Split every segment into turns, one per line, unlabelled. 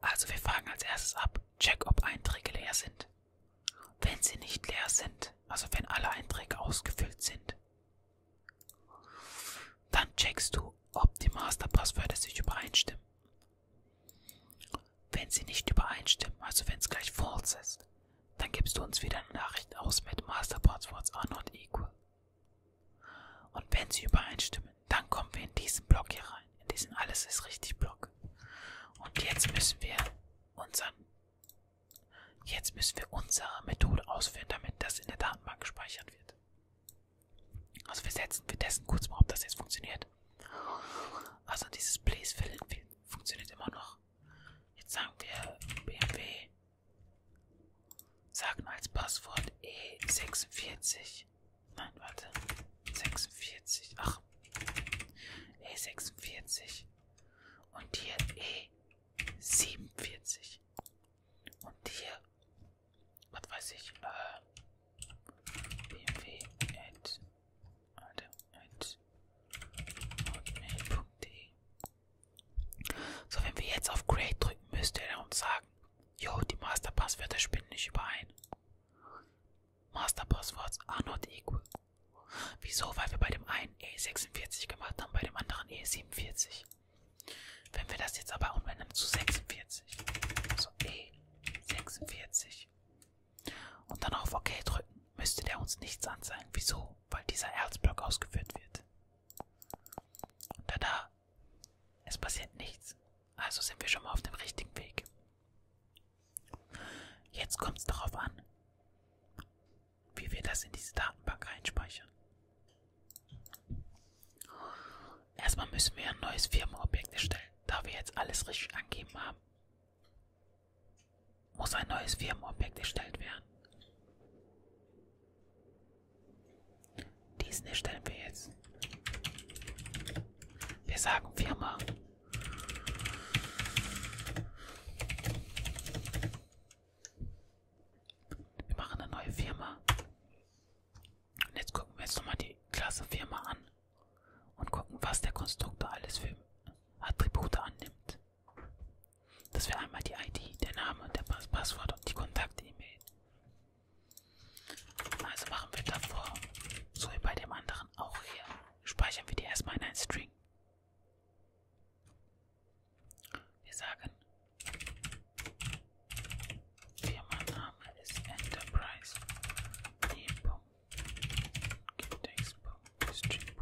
Also wir fragen als erstes ab, check ob Einträge leer sind. Wenn sie nicht leer sind, also wenn alle Einträge ausgefüllt sind, dann checkst du, ob die Masterpasswörter sich übereinstimmen. Wenn sie nicht übereinstimmen, also wenn es gleich false ist, dann gibst du uns wieder eine Nachricht aus mit Masterpasswords are not equal. Und wenn sie übereinstimmen, stimmen, dann kommen wir in diesen Block hier rein, in diesen Alles ist richtig Block. Und jetzt müssen wir unseren, jetzt müssen wir unsere Methode ausführen, damit das in der Datenbank gespeichert wird. Also wir setzen, wir testen kurz mal, ob das jetzt funktioniert. Also dieses Please Fill in funktioniert immer noch. Jetzt sagen wir BMW, sagen als Passwort E46 Nein, warte. 46. Ach. E46. Und hier E47. Eh, Und hier. Was weiß ich? Äh. BMW. At, warte. At. Hotmail.de. So, wenn wir jetzt auf Create drücken, müsste er uns sagen, Jo, die Masterpasswörter spinnen nicht überein. Masterpasswords are ah, not equal. Wieso? Weil wir bei dem einen E46 gemacht haben, bei dem anderen E47. Wenn wir das jetzt aber umwenden zu 46, also E46 und dann auf OK drücken, müsste der uns nichts anzeigen. Wieso? Weil dieser Erzblock ausgeführt wird. Und da da aber es passiert nichts. Also sind wir schon mal auf dem richtigen Weg. Jetzt kommt es darauf an, wie wir das in diese Datenbank einspeichern. Erstmal müssen wir ein neues Firmenobjekt erstellen. Da wir jetzt alles richtig angegeben haben, muss ein neues Firmenobjekt erstellt werden. Diesen hier stellen wir jetzt. Wir sagen Firma. Wir machen eine neue Firma. Und jetzt gucken wir jetzt nochmal die Klasse Firma an und gucken, was der Konstruktor alles für Attribute annimmt. Das wäre einmal die ID, der Name, der Pass Passwort und die Kontakt-E-Mail. Also machen wir davor, so wie bei dem anderen auch hier, speichern wir die erstmal in ein String. Wir sagen, Firmenname ist Enterprise. E. String. Trip.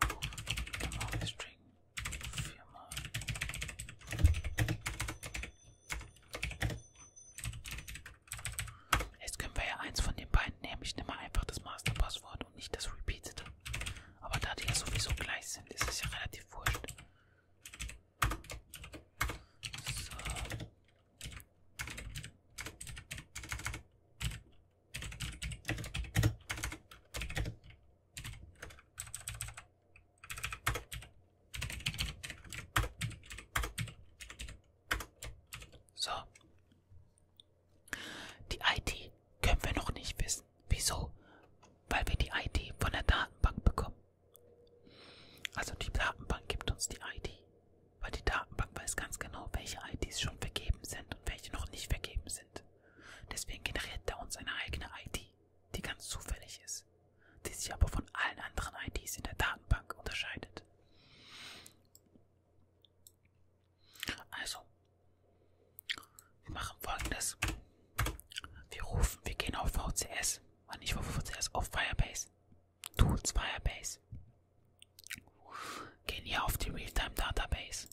Viermal String. Viermal. Jetzt können wir ja eins von den beiden nehmen. Ich nehme einfach das Masterpasswort und nicht das Repeated. Aber da die ja sowieso gleich sind, ist es ja relativ wurscht. So. So. Die ID können wir noch nicht wissen. Wieso? Weil wir die ID von der Datenbank bekommen. Also die Datenbank gibt uns die ID. Weil die Datenbank weiß ganz genau, welche IDs schon vergeben sind und welche noch nicht vergeben sind. Deswegen generiert Downs eine eigene ID, die ganz zufällig ist, die sich aber von allen anderen IDs in der Datenbank unterscheidet. Also, wir machen folgendes. Wir rufen, wir gehen auf VCS, Nein, nicht auf VCS, auf Firebase, Tools Firebase, gehen hier auf die Realtime Database,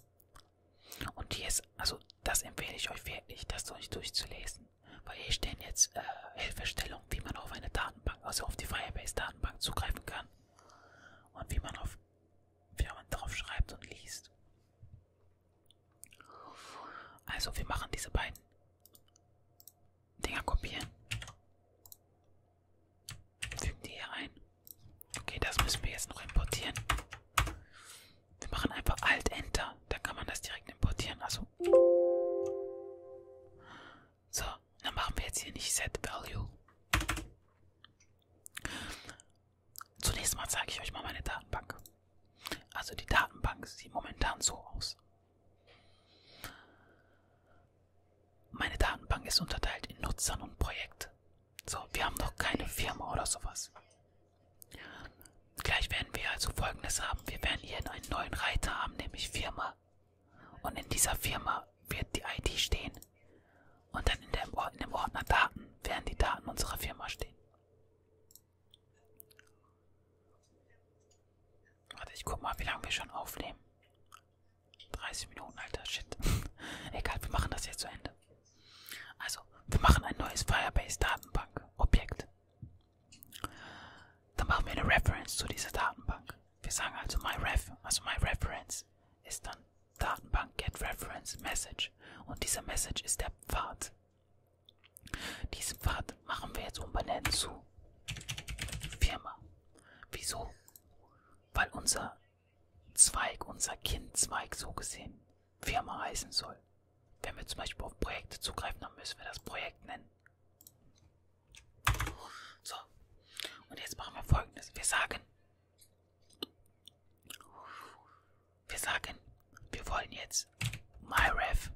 und hier ist, also das empfehle ich euch wirklich, das durch, durchzulesen. Weil hier stehen jetzt äh, Hilfestellungen, wie man auf eine Datenbank, also auf die Firebase-Datenbank zugreifen kann. Und wie man auf wie man drauf schreibt und liest. Also wir machen diese beiden Dinger kopieren. Fügen die hier ein. Okay, das müssen wir jetzt noch importieren. Wir machen einfach Alt-Enter. Da kann man das direkt importieren. Also. So, dann machen wir jetzt hier nicht Set Value. Zunächst mal zeige ich euch mal meine Datenbank. Also die Datenbank sieht momentan so aus. Meine Datenbank ist unterteilt in Nutzern und Projekte. So, wir haben doch keine Firma oder sowas. Gleich werden wir also folgendes haben. Wir werden hier einen neuen Reiter haben, nämlich Firma. Und in dieser Firma wird die ID stehen. Und dann in dem, in dem Ordner Daten werden die Daten unserer Firma stehen. Warte, ich guck mal, wie lange wir schon aufnehmen. 30 Minuten, alter Shit. Egal, wir machen das jetzt zu Ende. Also, wir machen ein neues Firebase-Datenbank-Objekt. Dann machen wir eine Reference zu dieser Datenbank. Wir sagen also myRef, also myReference ist dann Datenbank get reference message und dieser Message ist der Pfad. Diesen Pfad machen wir jetzt umbenennen zu Firma. Wieso? Weil unser Zweig, unser Kindzweig so gesehen, Firma heißen soll. Wenn wir zum Beispiel auf Projekte zugreifen, dann müssen wir das Projekt nennen. So, und jetzt machen wir folgendes. Wir sagen, wir sagen, wir wollen jetzt myref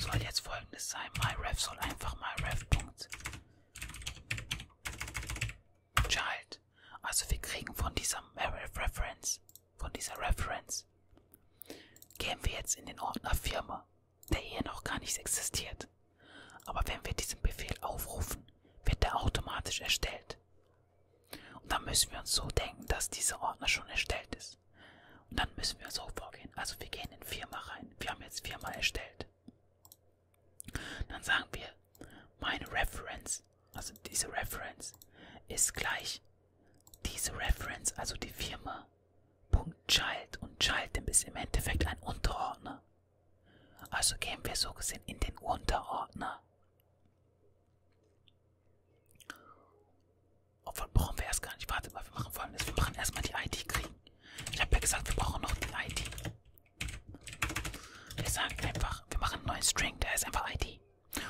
soll jetzt folgendes sein. myref soll einfach myref. Child. Also wir kriegen von dieser Reference, von dieser Reference, gehen wir jetzt in den Ordner Firma, der hier noch gar nicht existiert. Aber wenn wir diesen Befehl aufrufen, wird er automatisch erstellt. Und dann müssen wir uns so denken, dass dieser Ordner schon erstellt ist. Und dann müssen wir so vorgehen. Also wir gehen in Firma rein. Wir haben jetzt Firma erstellt. Dann sagen wir, meine Reference, also diese Reference, ist gleich diese Reference, also die Firma, Punkt Child. Und Child ist im Endeffekt ein Unterordner. Also gehen wir so gesehen in den Unterordner. Obwohl brauchen wir erst gar nicht. Warte mal, wir machen folgendes. Wir machen erstmal die ID kriegen. Ich habe ja gesagt, wir brauchen noch die ID. Wir sagen einfach, wir machen einen neuen String, der ist einfach ID.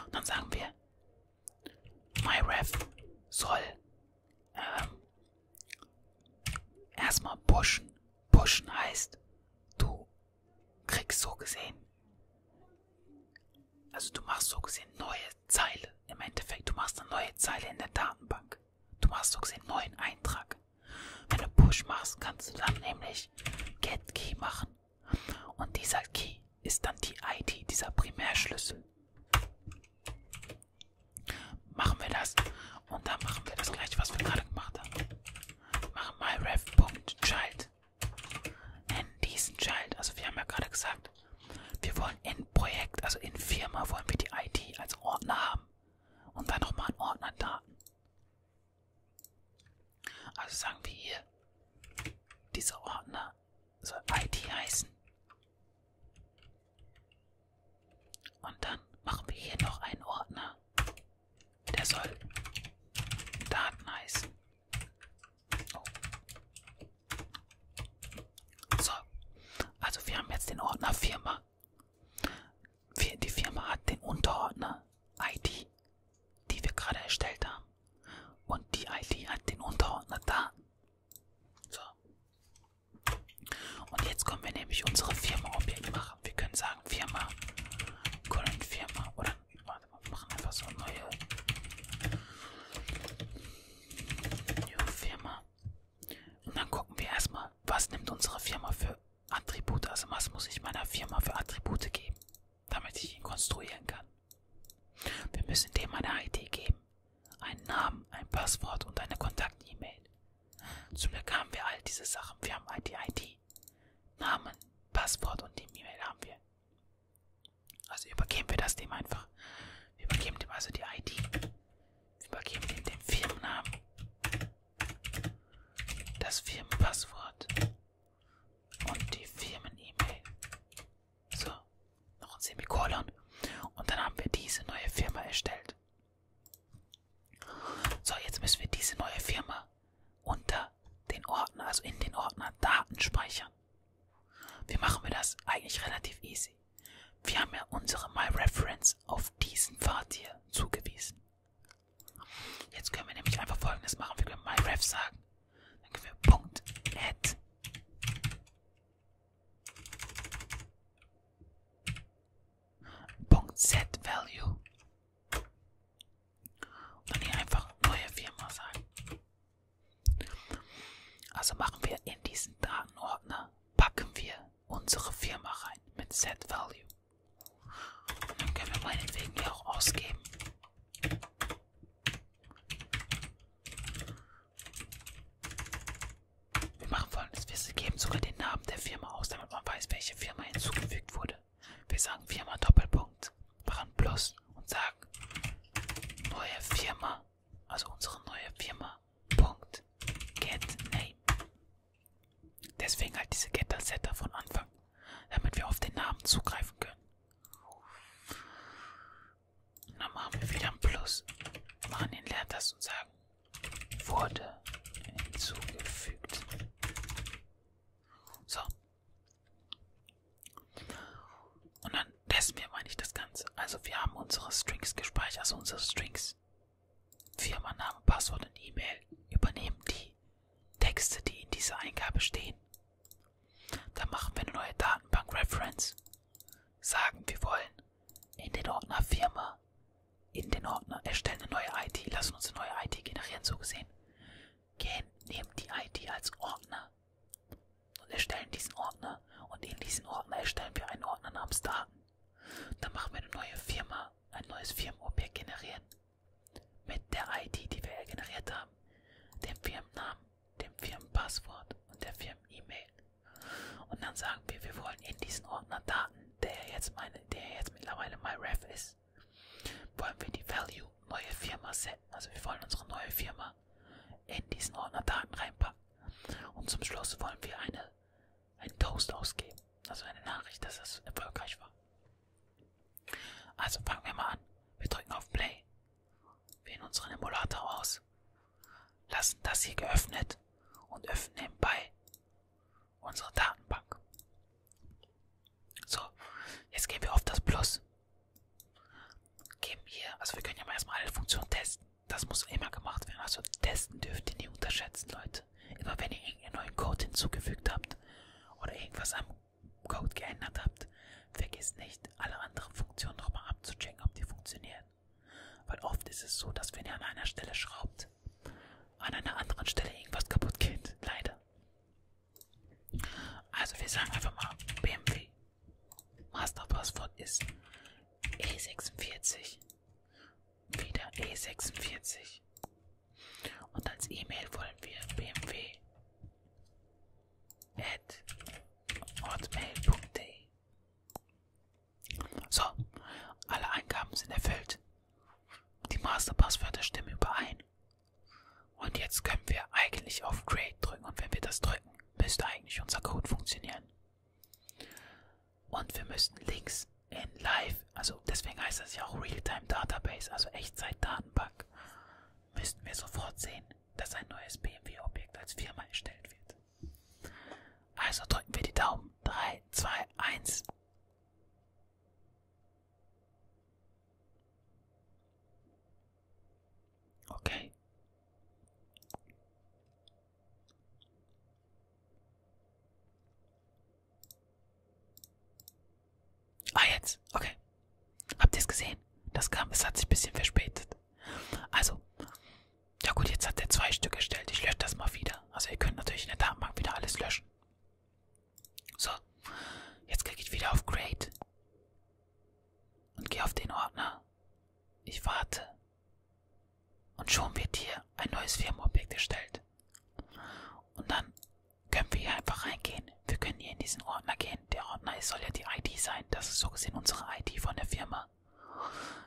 Und dann sagen wir, myref soll ähm, erstmal pushen. Pushen heißt, du kriegst so gesehen, also du machst so gesehen neue Zeile. Im Endeffekt, du machst eine neue Zeile in der Datenbank. Du machst so gesehen neuen Eintrag. Wenn du Push machst, kannst du dann nämlich Get Key machen. Und dieser Key ist dann die ID, dieser Primärschlüssel. Machen wir das und dann machen wir das gleiche, was wir gerade gemacht haben. Machen myref.child. Nennen diesen Child, also wir haben ja gerade gesagt, wir wollen in Projekt, also in Firma, wollen wir die ID als Ordner haben. Und dann nochmal einen Ordner Daten. Also sagen wir hier, dieser Ordner soll ID heißen. Und dann machen wir hier noch einen Ordner. Der soll Daten heißen. Oh. So, also wir haben jetzt den Ordner Firma. Firma. Die Firma hat den Unterordner ID, die wir gerade erstellt haben. Und die ID hat den Unterordner Daten. So. Und jetzt können wir nämlich unsere Firma-Objekt machen. Wir können sagen Firma, Colon Firma oder warte mal, wir machen einfach so eine neue New Firma. Und dann gucken wir erstmal, was nimmt unsere Firma für Attribute? Also was muss ich meiner Firma für Attribute geben, damit ich ihn konstruieren kann? Wir müssen dem eine ID geben, einen Namen, ein Passwort und eine Kontakt-E-Mail. Zum Glück haben wir all diese Sachen. Wir haben die ID, Namen, Passwort und die E-Mail haben wir. Also übergeben wir das dem einfach. Wir übergeben dem also die ID. Übergeben wir den Firmennamen. Das Firmenpasswort. Und die Firmen-E-Mail. So, noch ein Semikolon. Und dann haben wir diese neue Firma erstellt. So, jetzt müssen wir diese neue Firma unter den Ordner, also in den Ordner Daten speichern. Wie machen wir das? Eigentlich relativ easy. Wir haben ja unsere MyReference auf diesen Pfad hier zugewiesen. Jetzt können wir nämlich einfach folgendes machen. Wir können MyRef sagen. Dann können wir Punkt add. Punkt set value. Und dann hier einfach neue Firma sagen. Also machen wir in diesen Datenordner, packen wir unsere Firma rein mit Set Value. Und dann können wir meinetwegen die auch ausgeben. Wir machen folgendes, wir geben sogar den Namen der Firma aus, damit man weiß, welche Firma hinzugefügt wurde. Wir sagen Firma Doppelpunkt, machen Plus und sagen neue Firma also unsere neue Firma. Punkt. Get Name. Deswegen halt diese Getter Setter von Anfang, damit wir auf den Namen zugreifen können. Und dann machen wir wieder ein Plus. Machen den Lernt das und sagen, wurde hinzugefügt. So. Und dann dann testen wir, meine ich, das Ganze. Also wir haben unsere Strings gespeichert, also unsere Strings. Firma, Name, Passwort und E-Mail übernehmen die Texte, die in dieser Eingabe stehen. Dann machen wir eine neue Datenbank-Reference. Sagen, wir wollen in den Ordner Firma, in den Ordner erstellen eine neue ID, lassen uns eine neue ID generieren, so gesehen. Gehen, nehmen die ID als Ordner, und erstellen diesen Ordner und in diesen Ordner erstellen wir einen Ordner namens Daten. Dann machen wir eine neue Firma, ein neues Firmenobjekt generieren. Mit der ID, die wir generiert haben, dem Firmennamen, dem Firmenpasswort und der Firmen-E-Mail. Und dann sagen wir, wir wollen in diesen Ordner Daten, der jetzt, meine, der jetzt mittlerweile MyRef ist, wollen wir die Value neue Firma setzen. Also wir wollen unsere neue Firma Ordner in diesen Ordnerdaten reinpacken. Und zum Schluss wollen wir eine, einen Toast ausgeben. Also eine Nachricht, dass es erfolgreich war. Also fangen wir mal an. Wir drücken auf Play. Wählen unseren Emulator aus. Lassen das hier geöffnet und öffnen nebenbei unsere Datenbank. So, jetzt gehen wir auf das Plus. Geben hier, also wir können ja mal erstmal alle Funktionen testen. Das muss immer gemacht werden. Also testen dürft ihr nie unterschätzen, Leute. Immer wenn ihr irgendeinen neuen Code hinzugefügt habt oder irgendwas am Code geändert habt, vergesst nicht, alle anderen Funktionen nochmal abzuchecken, ob die funktionieren. Weil oft ist es so, dass wenn ihr an einer Stelle schraubt, an einer anderen Stelle irgendwas kaputt geht. Leider. Also wir sagen einfach mal BMW Masterpasswort ist E46. Wieder E46. Und als E-Mail wollen wir bmw at hotmail.de. So, alle Eingaben sind erfüllt. Die Masterpasswörter stimmen überein. Und jetzt können wir eigentlich auf Create drücken. Und wenn wir das drücken, müsste eigentlich unser Code funktionieren. Und wir müssten links in Live, also deswegen heißt das ja auch Realtime Database, also Echtzeit-Datenbank, müssten wir sofort sehen, dass ein neues BMW-Objekt als Firma erstellt wird. Also drücken wir die Daumen. 3, 2, 1. Okay. Ah, jetzt. Okay. Habt ihr es gesehen? Das kam, es hat sich ein bisschen verspätet. Also, ja gut, jetzt hat er zwei Stück erstellt. Ich lösche das mal wieder. Also ihr könnt natürlich in der Datenbank wieder alles löschen. So, jetzt klicke ich wieder auf Create und gehe auf den Ordner ich warte. Und schon wird hier ein neues Firmenobjekt erstellt. Und dann können wir hier einfach reingehen. Wir können hier in diesen Ordner gehen. Der Ordner ist, soll ja die ID sein. Das ist so gesehen unsere ID von der Firma.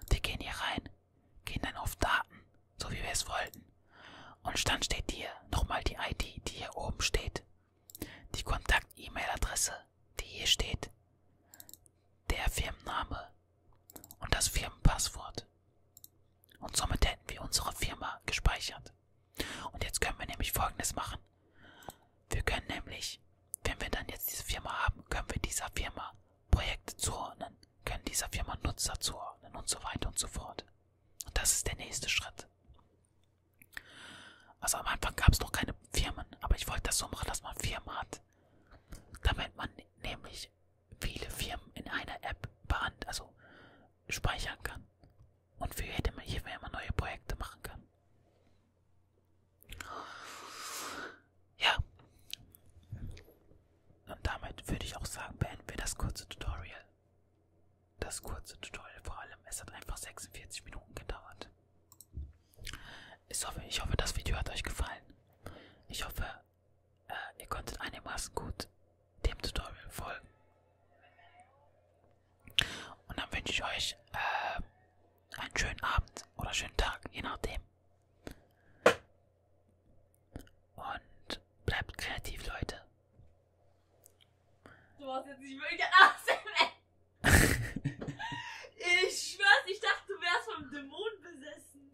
Wir gehen hier rein, gehen dann auf Daten, so wie wir es wollten. Und dann steht hier nochmal die ID, die hier oben steht. Die Kontakt-E-Mail-Adresse, die hier steht, der Firmenname und das Firmenpasswort. Und somit hätten wir unsere Firma gespeichert. Und jetzt können wir nämlich folgendes machen. Wir können nämlich, wenn wir dann jetzt diese Firma haben, können wir dieser Firma Projekte zuordnen, können dieser Firma Nutzer zuordnen und so weiter und so fort. Und das ist der nächste Schritt. Also am Anfang gab es noch keine Firmen, aber ich wollte das so machen, dass man Firmen hat. Damit man nämlich viele Firmen in einer App behandelt, also speichern kann. Und für jede hier immer neue Projekte machen kann. Ja. Und damit würde ich auch sagen, beenden wir das kurze Tutorial. Das kurze Tutorial vor allem, es hat einfach 46 Minuten gedauert. Ich hoffe, ich hoffe, das Video hat euch gefallen. Ich hoffe, äh, ihr konntet einigermaßen gut dem Tutorial folgen. Und dann wünsche ich euch äh, einen schönen Abend oder schönen Tag, je nachdem. Und bleibt kreativ, Leute. Du warst jetzt nicht wirklich ASMR. ich schwör's, ich dachte, du wärst vom Dämon besessen.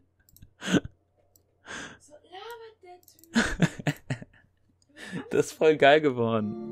So labert der Typ. das ist voll geil geworden.